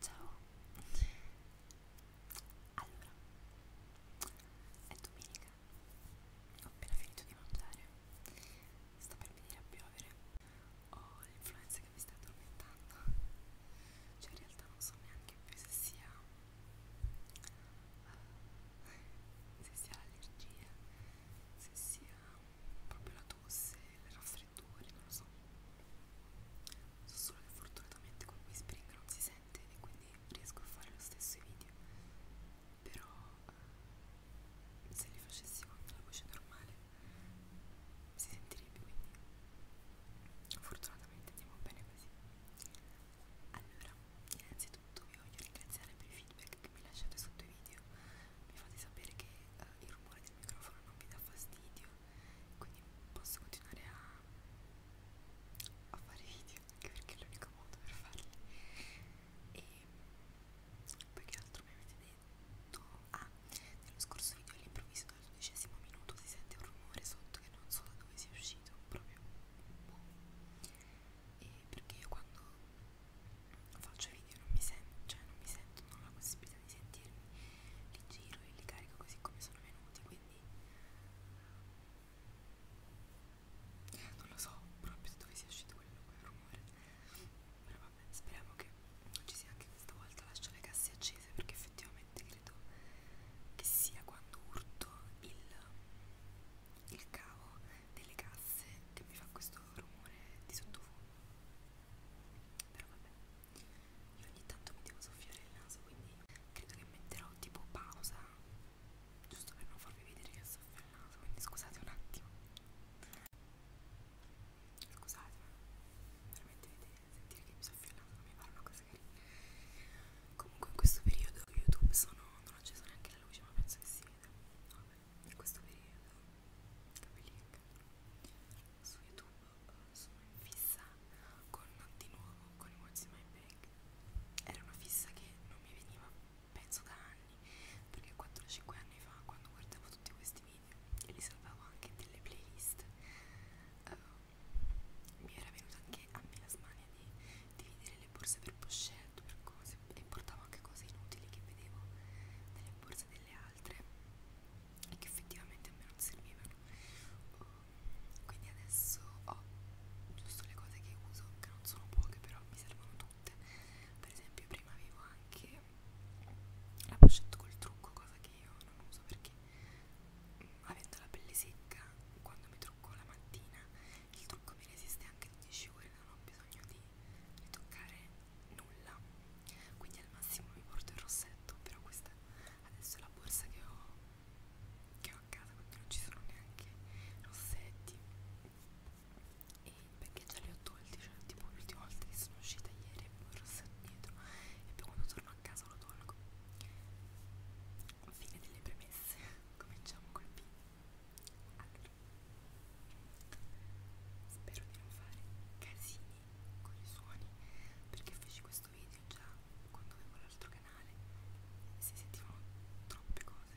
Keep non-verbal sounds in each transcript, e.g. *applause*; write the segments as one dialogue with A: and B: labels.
A: Ciao. Allora, è domenica. Ho appena finito di mangiare. Sta per venire a piovere. Ho l'influenza che mi sta addormentando. Cioè, in realtà non so neanche più se sia se sia l'allergia, se sia proprio la tosse, le raffreddore, non lo so. So solo che fortunatamente con whispering non si sente e quindi riesco a fare lo stesso i video. Però eh, se li facessi con la voce normale si sentirebbe quindi fortunatamente andiamo bene così. Allora, innanzitutto vi voglio ringraziare per i feedback che mi lasciate sotto i video. Mi fate sapere che eh, il rumore del microfono non vi dà fastidio quindi posso continuare a, a fare video anche perché è l'unico modo per farli e poi che altro mi avete detto ah nello scorso video all'improvviso dal dodicesimo minuto si sente un rumore sotto che non so da dove sia uscito proprio boh. e perché io quando faccio video non mi sento, cioè non mi sento, non ho la possibilità di sentirmi, li giro e li carico così come sono venuti, quindi non lo so proprio dove sia uscito quel, quel rumore, però vabbè, speriamo che ci sia anche questa volta, lascio le casse accese perché effettivamente credo che sia quando urto il, il cavo delle casse che mi fa questo rumore di sottofondo però vabbè io ogni tanto mi devo soffiare il naso quindi credo che metterò tipo pausa giusto per non farvi vedere che soffio il naso quindi scusate un attimo scusate veramente vedete, sentire che mi soffio il naso non mi pare una cosa carina comunque in questo periodo youtube sono non ho acceso neanche la luce ma penso che si veda vabbè in questo periodo capelli che cadono su YouTube eh, sono in fissa con di nuovo con i What's in My Bag era una fissa che non mi veniva penso da anni perché 4-5 anni fa quando guardavo tutti questi video e li salvavo anche delle playlist uh, mi era venuta anche a me la smania di dividere le borse per pochette letto per cose e portavo anche cose inutili che vedevo nelle borse delle altre e che effettivamente a me non servivano quindi adesso ho giusto le cose che uso che non sono poche però mi servono tutte per esempio prima avevo anche la pochette col trucco cosa che io non uso perché mm, avendo la pelle secca quando mi trucco la mattina il trucco mi resiste anche 12 ore non ho bisogno di ritoccare nulla quindi al massimo mi porto il rossetto però questa adesso è la borsa che ho, che ho a casa quindi non ci sono neanche rossetti e perché già li ho tolti cioè tipo l'ultima volta che sono uscita ieri avevo il rossetto dietro e poi quando torno a casa lo tolgo fine delle premesse *laughs* cominciamo col video spero di non fare casini con i suoni perché feci questo video già quando avevo l'altro canale e si sentivano troppe cose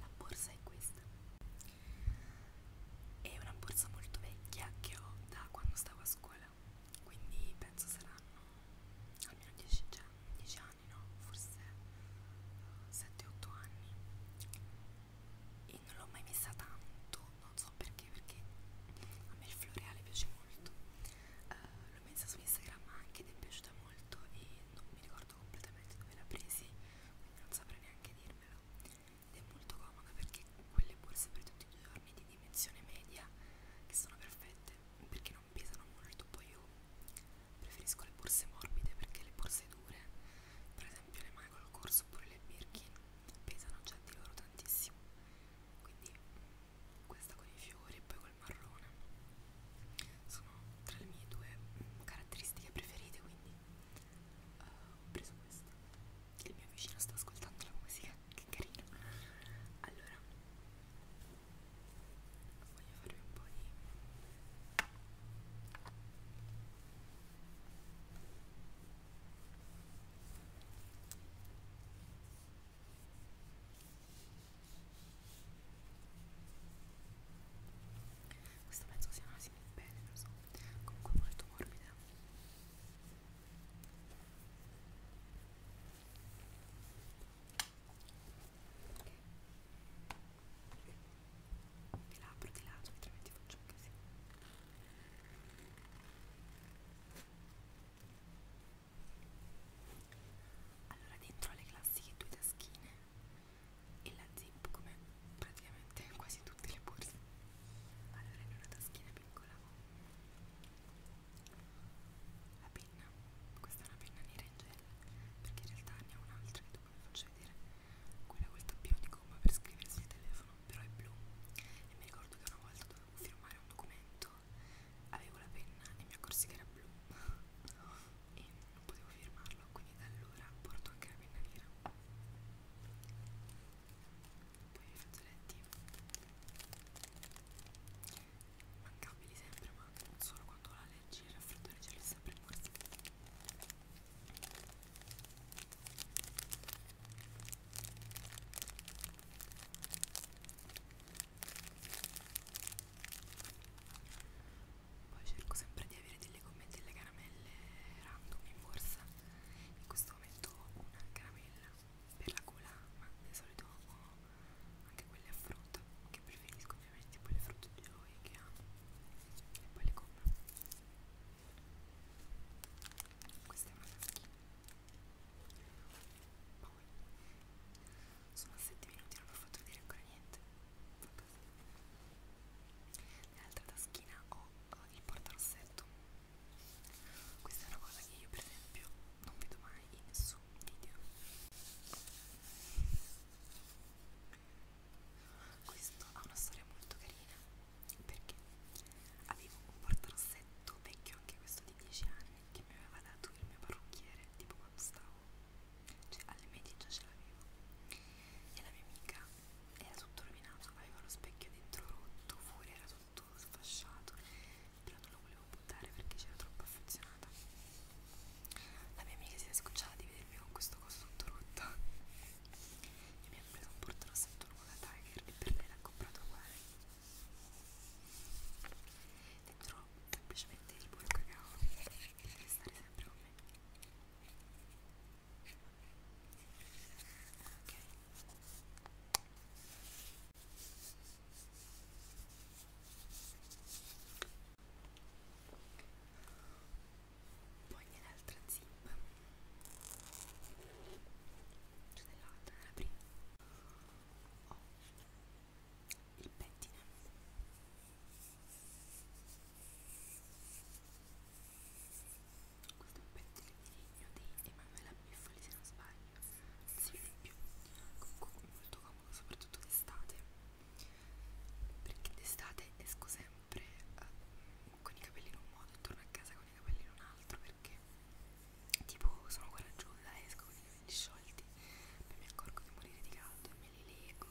A: la borsa è questa. È una borsa molto vecchia che ho da quando stavo a scuola, quindi penso saranno almeno 10, 10 anni, no? Forse 7-8 eh, anni. E non l'ho mai messa tanto non so perché perché a me il floreale piace molto uh, l'ho messa su Instagram anche ed è piaciuta molto e non mi ricordo completamente dove l'ha presi quindi non saprei neanche dirmelo ed è molto comoda perché quelle borse per tutti i giorni di dimensione media che sono perfette perché non pesano molto poi io preferisco le borse morbide perché le borse dure per esempio le Michael Kors oppure le Birkin pesano già di loro tantissimo quindi questa con i fiori e poi col marrone sono tra le mie due caratteristiche preferite quindi uh, ho preso questa il mio vicino sta ascoltando la musica che carino allora voglio farvi un po' di questo pezzo si analizza bene, lo so, comunque molto morbida. Ok. Ti apro di lato, cioè, altrimenti faccio un casino allora dentro le classiche due taschine e la zip come praticamente quasi tutte le borse allora in una taschina piccola la penna questa è una penna nera in gel perché in realtà ne ho un'altra che dopo vi faccio vedere quella col tappino di gomma per scrivere sul telefono, però è blu. E mi ricordo che una volta dovevo firmare un documento, avevo la penna e mi accorsi che era blu e non potevo firmarlo, quindi da allora porto anche la penna nera. Poi i fazzoletti mancabili sempre, ma solo quando ho l'allergia e il raffreddore ce l'ho sempre in borsa. Poi cerco sempre di avere delle gomme e delle caramelle random in borsa. In questo momento ho una caramella per la gola, ma di solito ho anche quelle a frutta, che preferisco ovviamente, poi le frutte di noi che amo e poi le gomme queste maschine poi sono 7 minuti non vi ho fatto vedere ancora niente nell'altra taschina ho eh, il portarossetto questa è una cosa che io per esempio non vedo mai in nessun video questo ha una storia molto carina perché avevo un portarossetto vecchio anche questo di 10 anni che mi aveva dato il mio parrucchiere tipo quando stavo, cioè alle medie già ce l'avevo e la mia amica era tutto rovinato, aveva lo specchio dentro rotto, fuori era tutto sfasciato però non lo volevo buttare perché c'era troppo affezionata la mia amica si era scocciata di vedermi con questo coso tutto rotto *laughs* e mi ha Sembra non portano sempre nuova Tiger e per lei l'ha comprato uguale. Dentro semplicemente il puro cacao deve stare sempre con me. Ok poi nell'altra zip cioè nell'altra, nella prima ho oh, il pettine questo è un pettine di legno di Emanuela Biffoli se non sbaglio non si vede più comunque è molto comodo soprattutto d'estate perché d'estate esco sempre sempre eh, con i capelli in un modo e torno a casa con i capelli in un altro perché tipo sono coraggiosa, esco con i capelli sciolti poi mi accorgo di morire di caldo e me li lego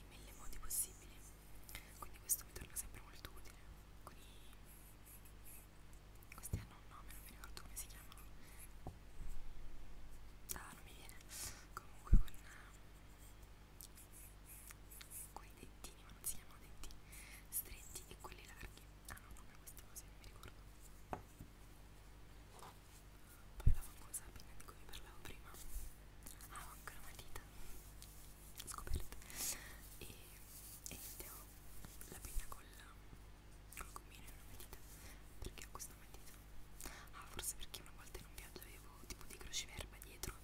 A: in mille modi possibili quindi questo mi torna sempre molto utile con i... questi hanno ah, un nome, non mi ricordo come si chiamano ah non mi viene comunque con quei dettini, ma non si chiamano detti, stretti e quelli larghi hanno ah, un nome questa cosa, non mi ricordo poi la famosa pinna di cui vi parlavo prima ah, ho anche una matita scoperta e, e mettevo la pinna col, col gommino e una matita perché ho questa matita? ah, forse perché una volta in un viaggio avevo tipo dei crociverba dietro dietro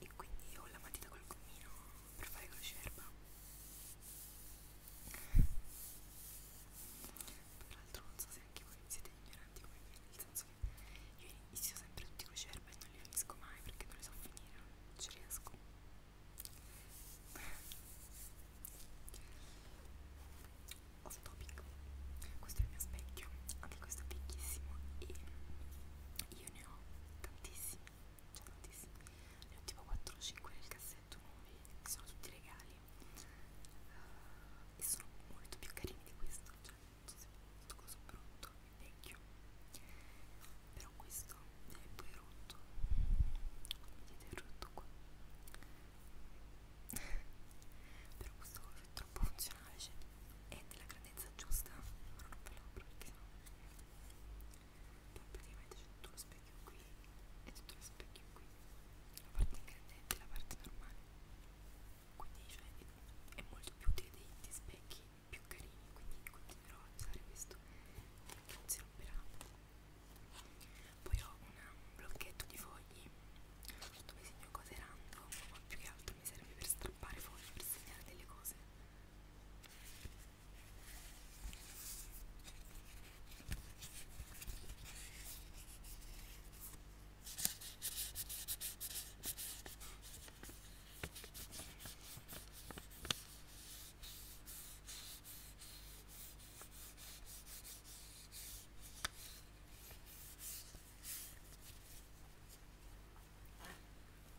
A: e quindi ho la matita col gommino per fare crocerba peraltro non so se anche voi siete ignoranti come me nel senso che io inizio sempre tutti i crocerba e non li finisco mai perché non li so finire non ci riesco off topic questo è il mio specchio anche questo è vecchissimo e io ne ho tantissimi cioè tantissimi ne ho tipo 4 o 5 nel cassetto nuovi che sono tutti regali uh, e sono molto più carini di questo cioè non so se questo coso brutto è vecchio però questo è poi rotto vedete è rotto qua *laughs* però questo coso è troppo funzionale cioè è della grandezza giusta ora non ve la apro perché sennò poi praticamente c'è tutto lo specchio qui e tutto lo specchio qui la parte ingrandente e la parte normale quindi cioè, è molto più utile dei, dei specchi più carini quindi continuerò a usare questo perché non si romperà poi ho una, un blocchetto di fogli dove certo, segno cose random ma più che altro mi serve per strappare fuori, per segnare delle cose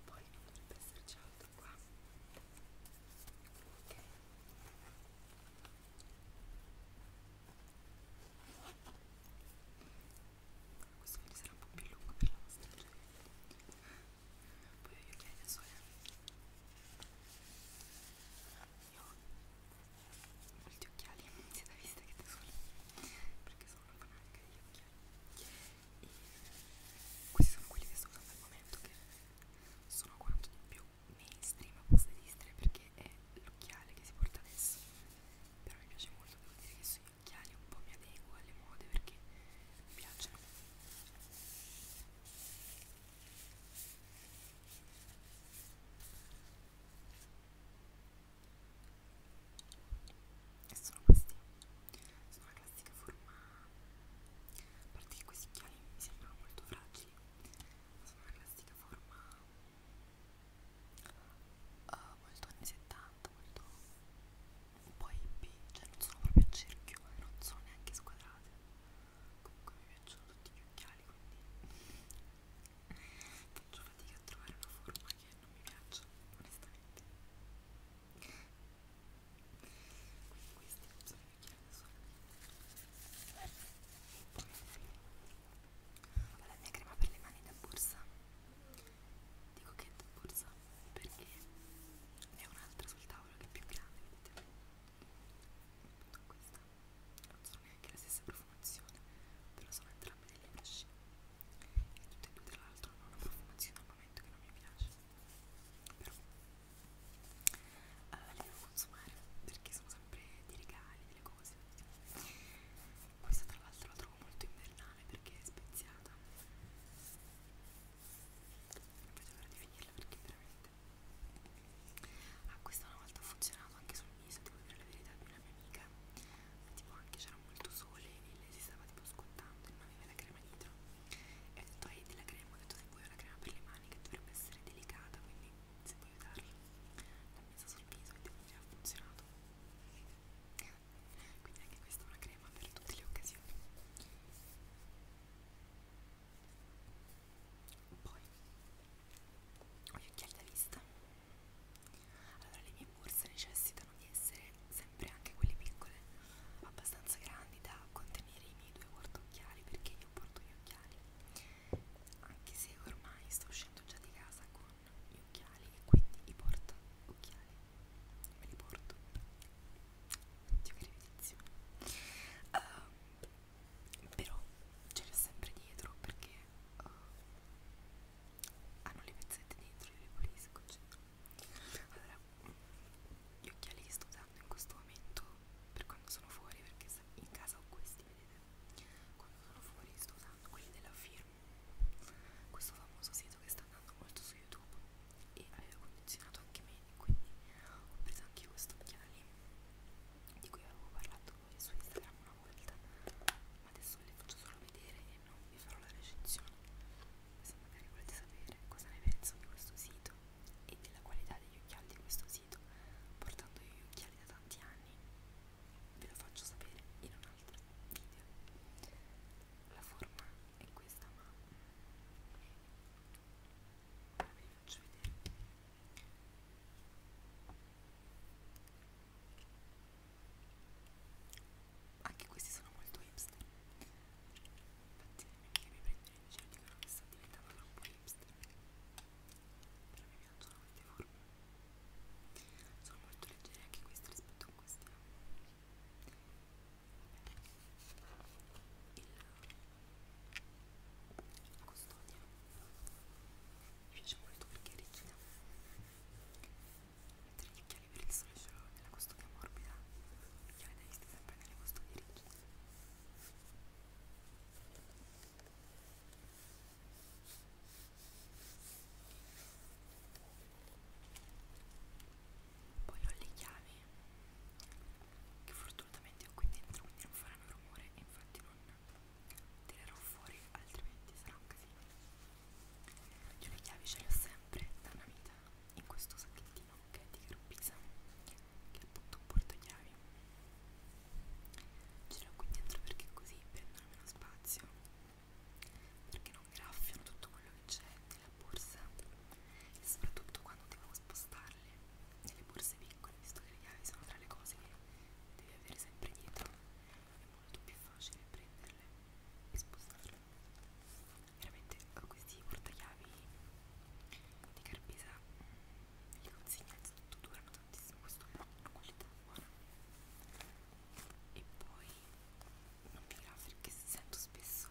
A: poi dovrebbe esserci altro qua ok questo video sarà un po' più lungo per la nostra gente poi io chiedo solo io molti occhiali, si è vista che te sono perché sono una fanarca degli occhiali e questi sono quelli che sto usando al momento che sono quanto di più mainstream posso esistere perché è l'occhiale che si porta adesso però mi piace molto, devo dire che sugli occhiali un po' mi adeguo alle mode perché mi piacciono e sono questi sono una classica forma a parte che questi occhiali mi sembrano molto fragili ma sono una classica forma uh, molto anni 70 molto un po' hippie cioè non sono proprio a cerchio e non sono neanche squadrate comunque mi piacciono tutti gli occhiali quindi Faccio fatica a trovare una forma che non mi piaccia, onestamente. Quindi questi sono i vecchi da soli. Poi ho la mia crema per le mani da borsa. Dico che è da borsa perché ne ho un'altra sul tavolo che è più grande, vedete? Questa non sono neanche la stessa profumazione, però sono entrambe delle brusci e tutte e due tra l'altro hanno una profumazione al momento che non mi piace però allora le devo consumare perché sono sempre dei regali, delle cose questa tra l'altro la trovo molto invernale perché è speziata non vedo l'ora di finirla perché veramente ah questa una volta funzionava bagnato anche sul viso, devo dire la verità di una mia amica, ma tipo anche c'era molto sole e lei si stava tipo scottando e non aveva la crema dietro e ho detto hai della crema, ho detto se vuoi una crema per le mani che dovrebbe essere delicata quindi se puoi aiutarla l'ho messa sul viso e devo dire ha funzionato quindi anche questa è una crema per tutte le occasioni poi ho gli occhiali da vista allora le mie borse necessitano di essere sempre anche quelle piccole, abbastanza grandi da contenere i miei due portocchiali perché io porto gli occhiali, anche se ormai sto uscendo già di casa con gli occhiali e quindi i porto occhiali, me li porto, oddio che ripetizione. Ehm, uh, però ce l'ho sempre dietro perché uh, hanno le pezzette dentro io le pulisco eccetera allora gli occhiali che sto usando in questo momento per quando sono fuori perché in casa ho questi vedete quando sono fuori sto usando quelli della firma questo famoso sito che sta andando molto su youtube e aveva condizionato anche me quindi ho preso anche io questi occhiali di cui avevo parlato storie su Instagram una volta ma adesso le faccio solo vedere e non vi farò la recensione se magari volete sapere cosa ne penso di questo sito e della qualità degli occhiali di questo sito portando io gli occhiali da tanti anni ve lo faccio sapere in un altro video la forma è questa ma ve la faccio vedere anche questi sono molto hipster. Infatti, le mie amiche mi prendono in giro dicono che sta diventando troppo hipster. Però mi piacciono queste forme. Sono molto leggere anche queste rispetto a questi. Il la custodia mi piace molto perché è rigida mentre gli occhiali per il sole ce l'ho nella custodia morbida gli occhiali da vista sempre nelle custodie rigide poi ho le chiavi che fortunatamente ho qui dentro quindi non faranno rumore e infatti non tirerò fuori altrimenti sarà un casino io le chiavi ce le ho sempre da una vita in questo sacchettino che è di Grubisa che è appunto un portachiavi ce le ho qui dentro perché così prendono meno spazio perché non graffiano tutto quello che c'è nella borsa e soprattutto quando devo spostarle nelle borse piccole visto che le chiavi sono tra le cose che devi avere sempre dietro è molto più facile prenderle e spostarle veramente con questi portachiavi di Carpesa vi consiglio innanzitutto durano tantissimo questo però hanno qualità buona e poi non vi graffio perché sento spesso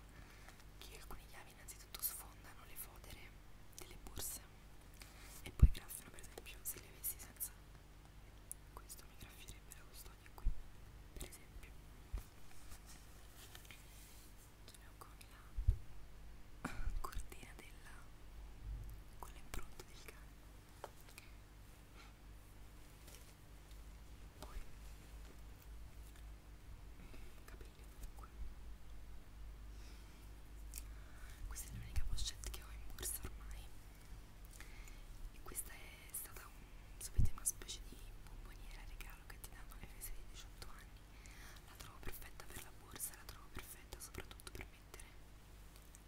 A: che alcune chiavi innanzitutto sfondano le fodere delle borse e poi graffiano per esempio se li avessi senza questo mi graffierebbe la custodia qui per esempio ce l'ho con la cortina della con l'impronta del cane poi capelli qui questa è l'unica pochette che ho in borsa ormai. E questa è stata un, sapete, una specie di bomboniera regalo che ti danno alle feste di 18 anni. La trovo perfetta per la borsa, la trovo perfetta soprattutto per mettere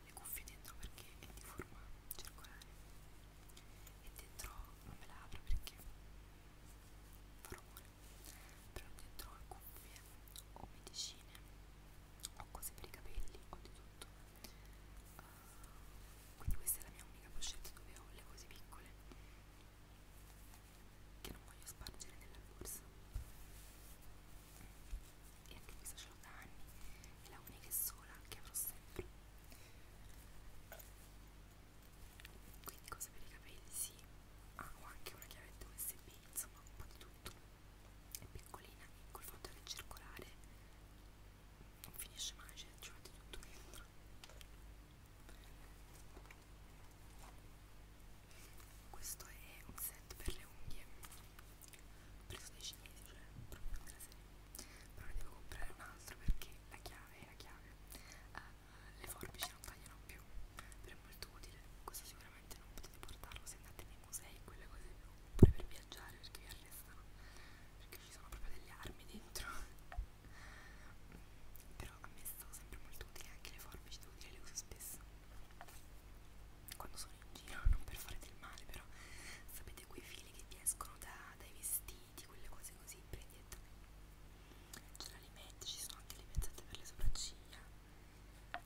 A: le cuffie dentro perché è di forma circolare. E dentro non me la apro perché fa rumore però dentro ho cuffie, ho medicine, ho cose per i capelli, ho di tutto. Uh, quindi questa è la mia unica pochette dove ho le cose piccole che non voglio spargere nella borsa. E anche questa ce l'ho da anni, è la unica e sola che avrò sempre. Quindi cosa per i capelli? Sì, ah, ho anche una chiavetta USB insomma un po' di tutto è piccolina e col fatto che è circolare non finisce mai cioè ci mette tutto dentro questo è un set per le unghie ho preso dei cinesi cioè proprio in serie però ne devo comprare un altro perché la chiave è la chiave uh, le forbici non tagliano più però è molto utile, così sicuramente non potete portarlo se andate nei musei, quelle cose più, oppure per viaggiare perché vi arrestano, perché ci sono proprio delle armi dentro. però a me sono sempre molto utili anche le forbici, devo dire le uso spesso quando sono in giro, non per fare del male, però sapete quei fili che vi escono da, dai vestiti, quelle cose così, prendete. C'è la limetta, ci sono anche le mezzette per le sopracciglia uh,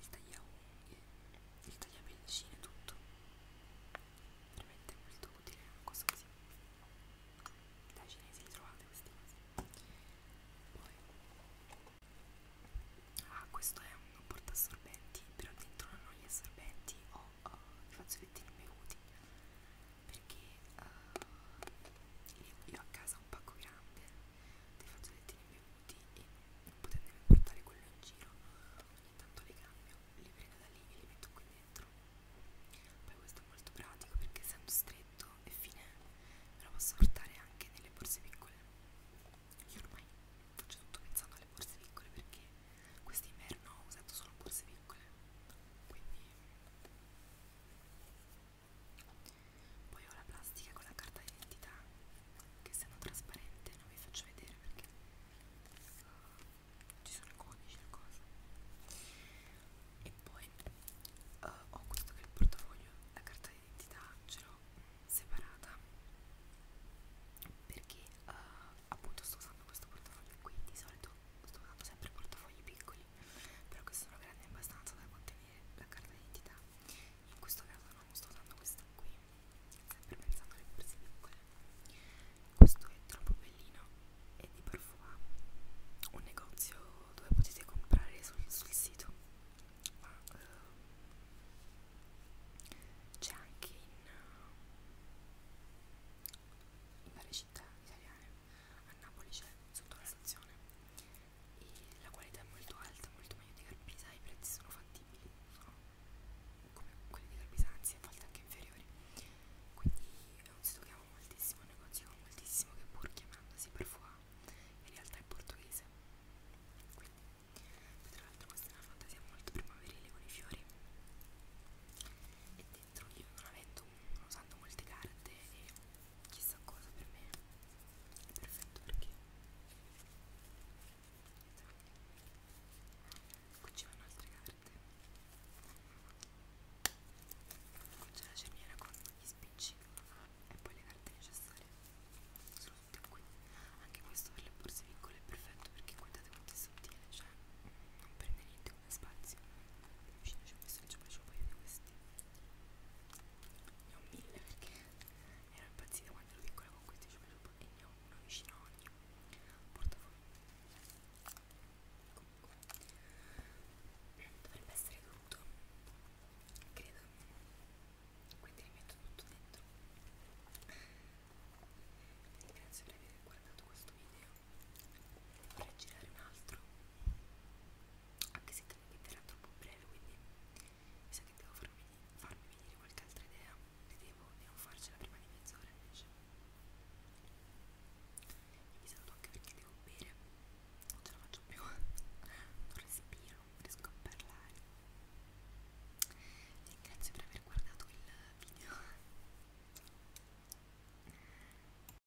A: il tagliaunghie, il tagliapellicine, tutto veramente molto utile una cosa così dai cinesi li trovate questi cose poi ah questo è un porta assorbenti però dentro non ho gli assorbenti ho oh, oh, uh, i fazzolettini bevuti perché uh, io, io a casa ho un pacco grande dei fazzolettini bevuti e non potendomi portare quello in giro ogni tanto li cambio, li prendo da lì e li metto qui dentro poi questo è molto pratico perché essendo stretto e fine me lo posso portare anche nelle borse piccole io ormai faccio tutto pensando alle borse piccole perché quest'inverno ho usato solo borse piccole quindi poi ho la plastica con la carta d'identità che se non trasparente non vi faccio vedere perché uh, ci sono i codici e cose. E poi uh, ho questo che è il portafoglio, la carta d'identità ce l'ho separata perché uh, appunto sto usando questo portafoglio qui, di solito sto usando sempre portafogli piccoli, però questi sono grandi abbastanza da contenere la carta d'identità in questo caso non sto usando questa qui sempre pensando alle prese piccole questo è troppo bellino è di Parfum un negozio dove potete comprare sul, sul sito ma uh, c'è anche in, uh, in varie città italiane a Napoli c'è sotto la stazione e la qualità è molto alta, molto meglio di Carpisa, i prezzi sono fattibili, sono come quelli di Carpisa, anzi a volte anche inferiori, quindi è un sito che amo moltissimo, un negozio che amo moltissimo, che pur chiamandosi Parfois in realtà è portoghese, quindi tra l'altro questa è una fantasia molto primaverile con i fiori e dentro io non avendo, non usando molte carte e chissà cosa per me è perfetto perché qui ci vanno altre carte qui c'è la cerniera con gli spicci e poi le carte necessarie sono tutte qui anche questo per le borse piccole è perfetto perché guardate quanto è sottile cioè non prende niente come spazio vicino ci ho messo già un paio di questi ne ho mille perché ero impazzita quando ero piccola con questi cioccolati e ne ho uno vicino a ogni portafoglio comunque dovrebbe essere tutto credo quindi rimetto tutto dentro vi ringrazio per aver guardato questo video vorrei girare un altro anche se credo che verrà troppo breve quindi mi sa che devo farmi, farmi venire qualche altra idea vedevo di non farcela prima di mezz'ora invece vi saluto anche perché devo bere non ce la faccio più *laughs* non respiro, non riesco a parlare vi ringrazio per aver guardato il video